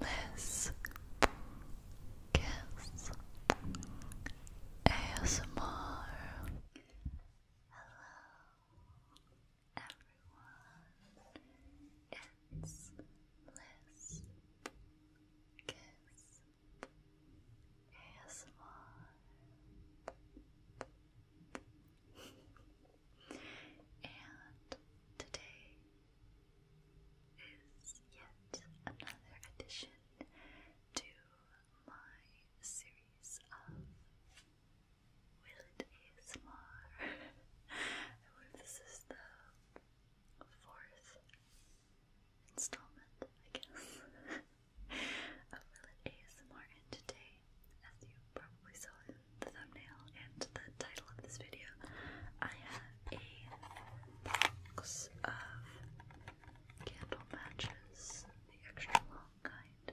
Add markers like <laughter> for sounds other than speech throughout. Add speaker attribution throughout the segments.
Speaker 1: Liz Kiss ASMR. Hello, everyone. It's Liz Kiss ASMR. and today is yet another addition to my series of Will It ASMR. <laughs> I believe this is the fourth installment, I guess, <laughs> of Will It ASMR. And today, as you probably saw the thumbnail and the title of this video, I have a box of candle matches, the extra long kind.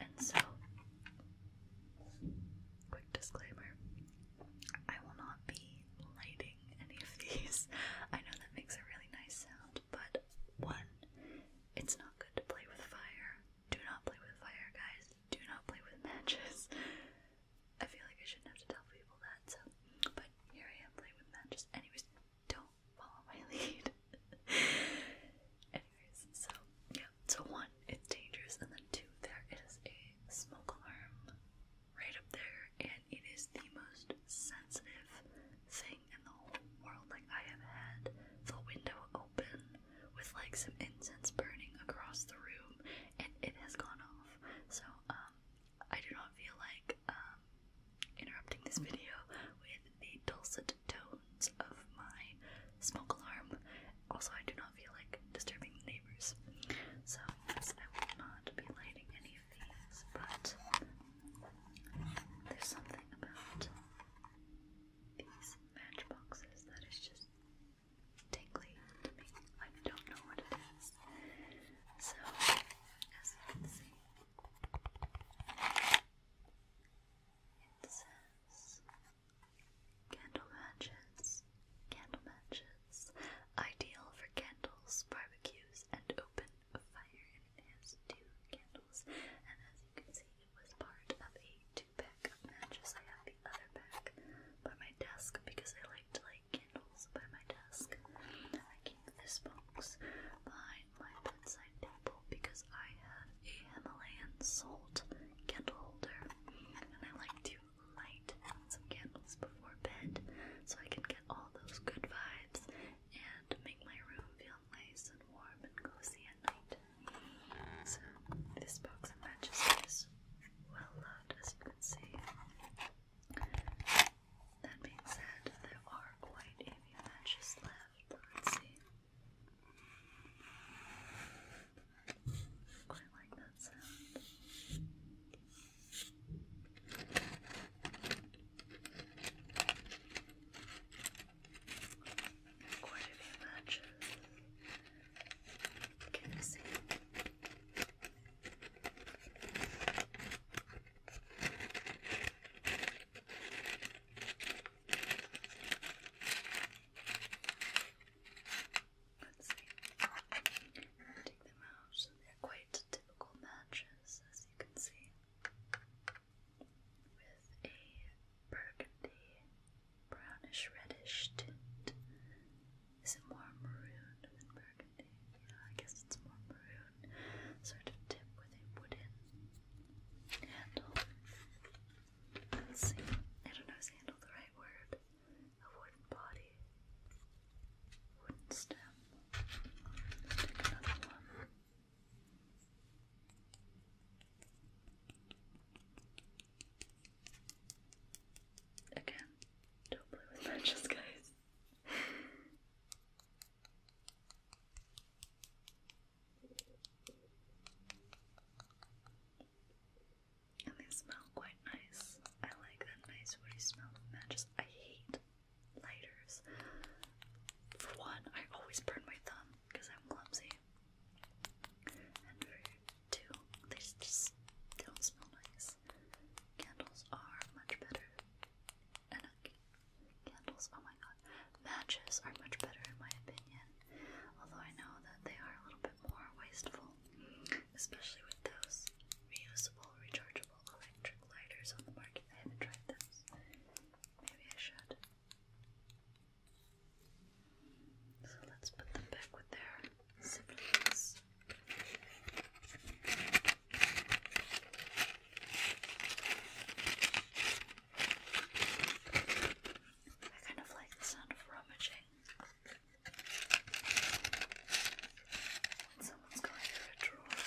Speaker 1: And so, quick disclaimer I will not be lighting any of these. <laughs> I know that makes a really nice sound, but one, it's not good to play with fire. Do not play with fire, guys. Do not play with matches. I feel like I shouldn't have to tell people that, so. But here I am playing with matches. Anyways, don't follow my <laughs> lead. Anyways, so, yeah. So, one, it's dangerous, and then two, there is a smoke alarm right up there, and it is the most sensitive thing in the whole world. Like, I have had the window open with like some incense burning across the room and it has gone off. So um I do not feel like um interrupting this video with the dulcet tones of my smoke alarm. Also I do not feel like disturbing the neighbors. So yes, I will not be lighting any of these, but there's something about these matchboxes that is just tingly to me. I don't know what it is. So, as you can see, it says candle matches, candle matches, ideal for candles, barbecues, and open fire. And it has two candles, and as you can see, it was part of a two pack of matches. I have the other pack by my desk because I like to light candles by my desk. I keep this box behind my bedside table because I have a Himalayan salt candle holder and I like to light some candles before bed so I can get all those good vibes and make my room feel nice and warm and cozy at night. So this box of matches is well loved, as you can see. That being said, there are quite a few matches left. Let's see. Quite like that sound. Quite a few matches. Can I see? Let's see. Take them out. They're quite typical matches, as you can see, with a burgundy brownish reddish tint. Is it more maroon than burgundy? I guess it's more maroon. Sort of tip with a wooden handle. see. I don't know handle the right word. A wooden body. Wooden stem. Let's take another one. Again, don't play with matches, guys. and they smell quite nice. I like that nice woody smell matches. I hate lighters. For one, I always burn my thumb because I'm clumsy. And for two, they just don't smell nice. Candles are much better. And uh, candles, oh my god, matches are much better in my opinion. Although I know that they are a little bit more wasteful, especially with those reusable, rechargeable electric lighters on the market. I haven't tried those. Maybe I should. So let's put them back with their siblings. I kind of like the sound of rummaging. When someone's going through a drawer.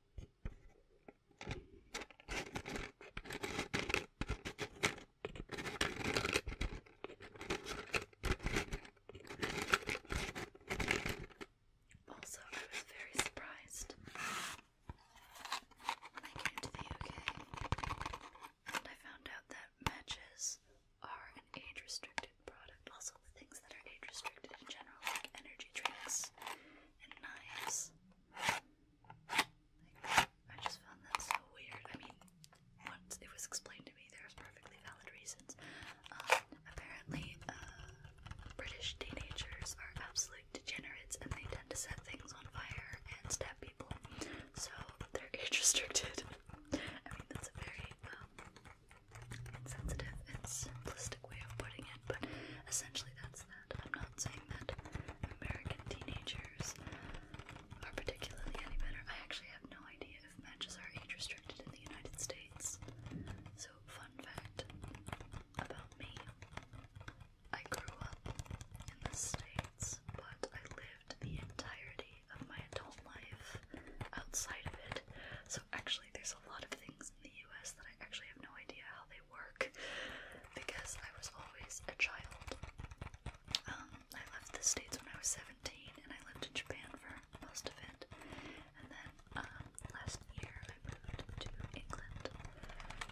Speaker 1: Also, I was very surprised when I came to the UK and I found out that matches are an age restricted product. Also, things that are age restricted in general, like energy drinks and knives. I just found that so weird. I mean, once it was explained to me, there was perfectly valid reasons. Um, apparently, uh, British teenagers are absolute degenerates, and they tend to set things on fire and stab people. So they're <laughs> age restricted. I mean, that's a very um, insensitive, it's simplistic way of putting it, but essentially that's that. I'm not saying that American teenagers are particularly any better. I actually have no idea if matches are age restricted in the United States. So, fun fact about me. I grew up in the States, but I lived the entirety of my adult life outside of it. So so actually, there's a lot of things in the US that I actually have no idea how they work because I was always a child. Um, I left the States when I was 17 and I lived in Japan for most of it. And then um, last year I moved to England.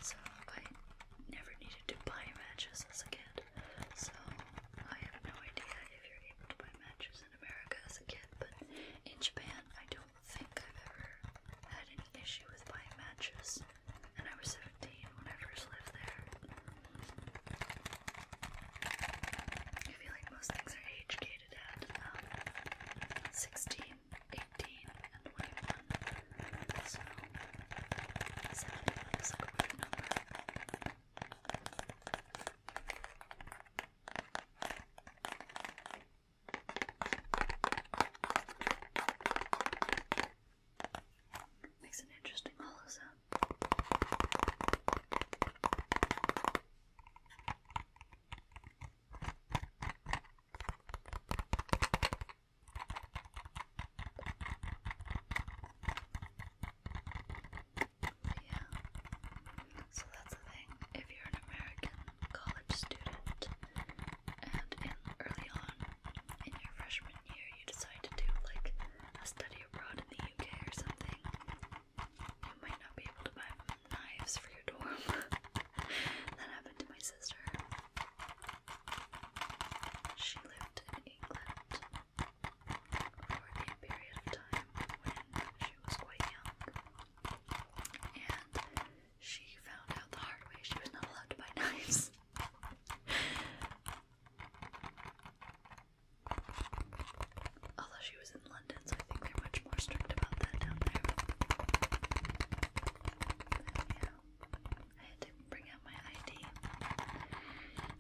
Speaker 1: So I never needed to buy matches as a kid. So I have no idea if you're able to buy matches in America as a kid, but in Japan I do think I've ever had any issue with buying matches, and I was 17 when I first lived there. I feel like most things are age gated at um, and 21. So, 71 is a weird number. Makes an interesting hollow sound. Yeah. So that's the thing. If you're an American college student and in early on in your freshman year you decide to do like a study abroad in the UK or something, you might not be able to buy knives for your dorm. <laughs> that happened to my sister. She lived in England for a period of time when she was quite young. And she found out the hard way she was not allowed to buy knives. <laughs> Although she was in London, so I think they're much more strict about that down there. Yeah. I had to bring out my ID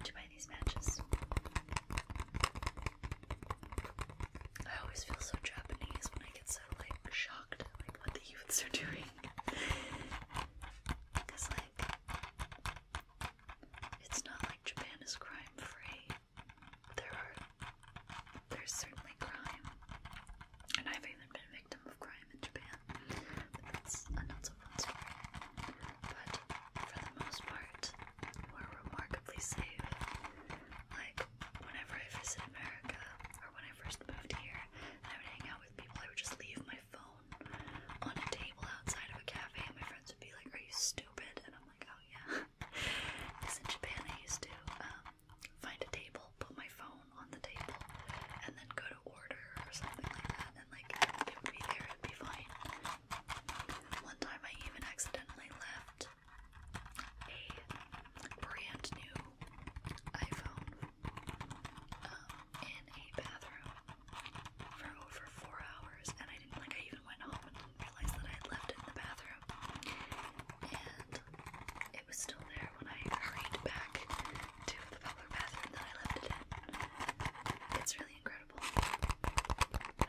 Speaker 1: to buy these matches. I always feel so Japanese when I get so like shocked like what the youths are doing. Cause like it's not like Japan is crime free. There are there's certainly crime. And I've even been a victim of crime in Japan. that's a uh, story. But for the most part, were remarkably safe. Like, whenever I visit America, or when I first moved here, and I would hang out with people, I would just leave my phone on a table outside of a cafe, and my friends would be like, Are you stupid? And I'm like, Oh, yeah. Because <laughs> in Japan, I used to um, find a table, put my phone on the table, and then go to order or something like that, and like it would be there, it'd be fine. One time I even accidentally left a brand new iPhone um, in a bathroom for over four hours, and I didn't like. I even went home and didn't realize that I had left it in the bathroom, and it was still there when I hurried back to the public bathroom that I left it in. It's really really incredible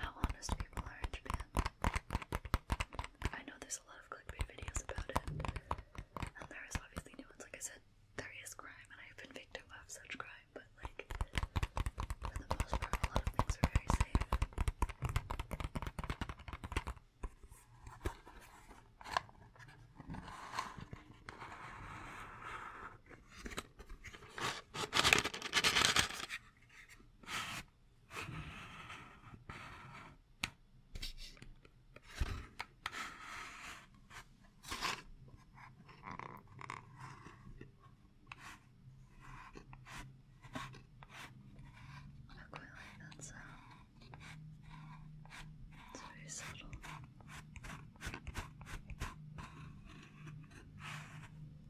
Speaker 1: how honest people are in Japan. I know there's a lot of clickbait videos about it, and there is obviously new ones. Like I said, there is crime, and I've been victim of such crime, but like, for the most part, a lot of things are very safe. I quite like very subtle.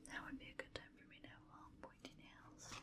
Speaker 1: That would be a good time for me to have long pointy nails.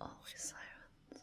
Speaker 1: Always sirens.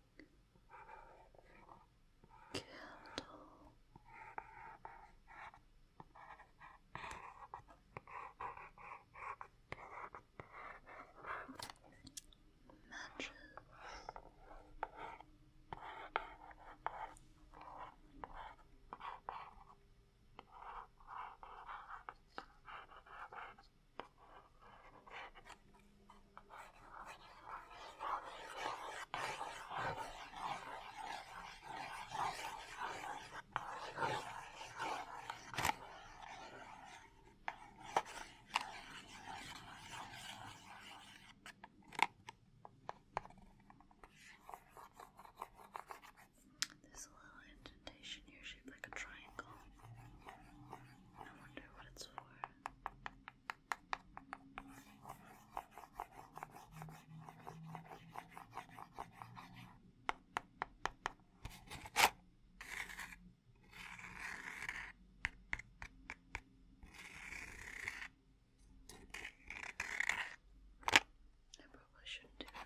Speaker 1: candle. Matches. There's a little indentation here shaped like a triangle. I wonder what it's for. I probably shouldn't do that.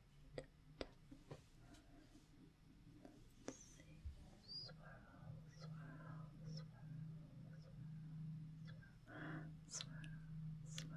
Speaker 1: swirl, swirl, swirl,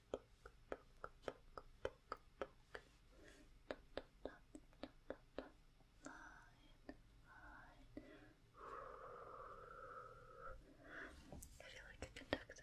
Speaker 1: I feel like a conductor.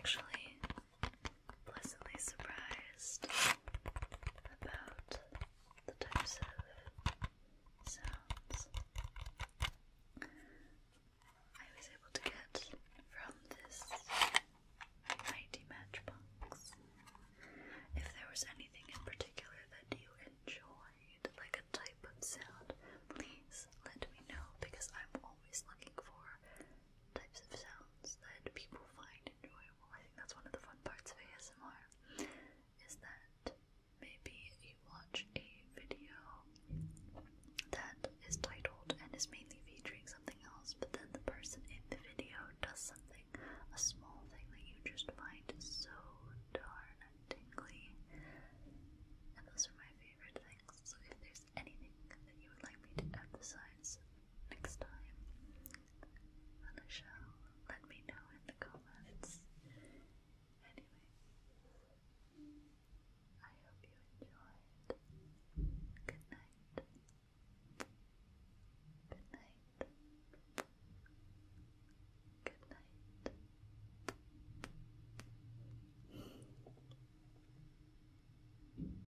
Speaker 1: I'm actually pleasantly surprised about the types of sounds I was able to get from this mighty matchbox. If there was anything in particular that you enjoyed, like a type of sound, please let me know because I'm always looking for types of sounds that people find enjoyable. I think that's one of the fun parts of ASMR is that maybe you watch a video that is titled and is mainly featuring something else, but then the person in the video does something, a small thing that you just find so darn tingly. And those are my favorite things. So if anything that you would like me to emphasize next time, then let me know in the comments. Anyway, I hope you enjoyed. Good night. Good night. Good night.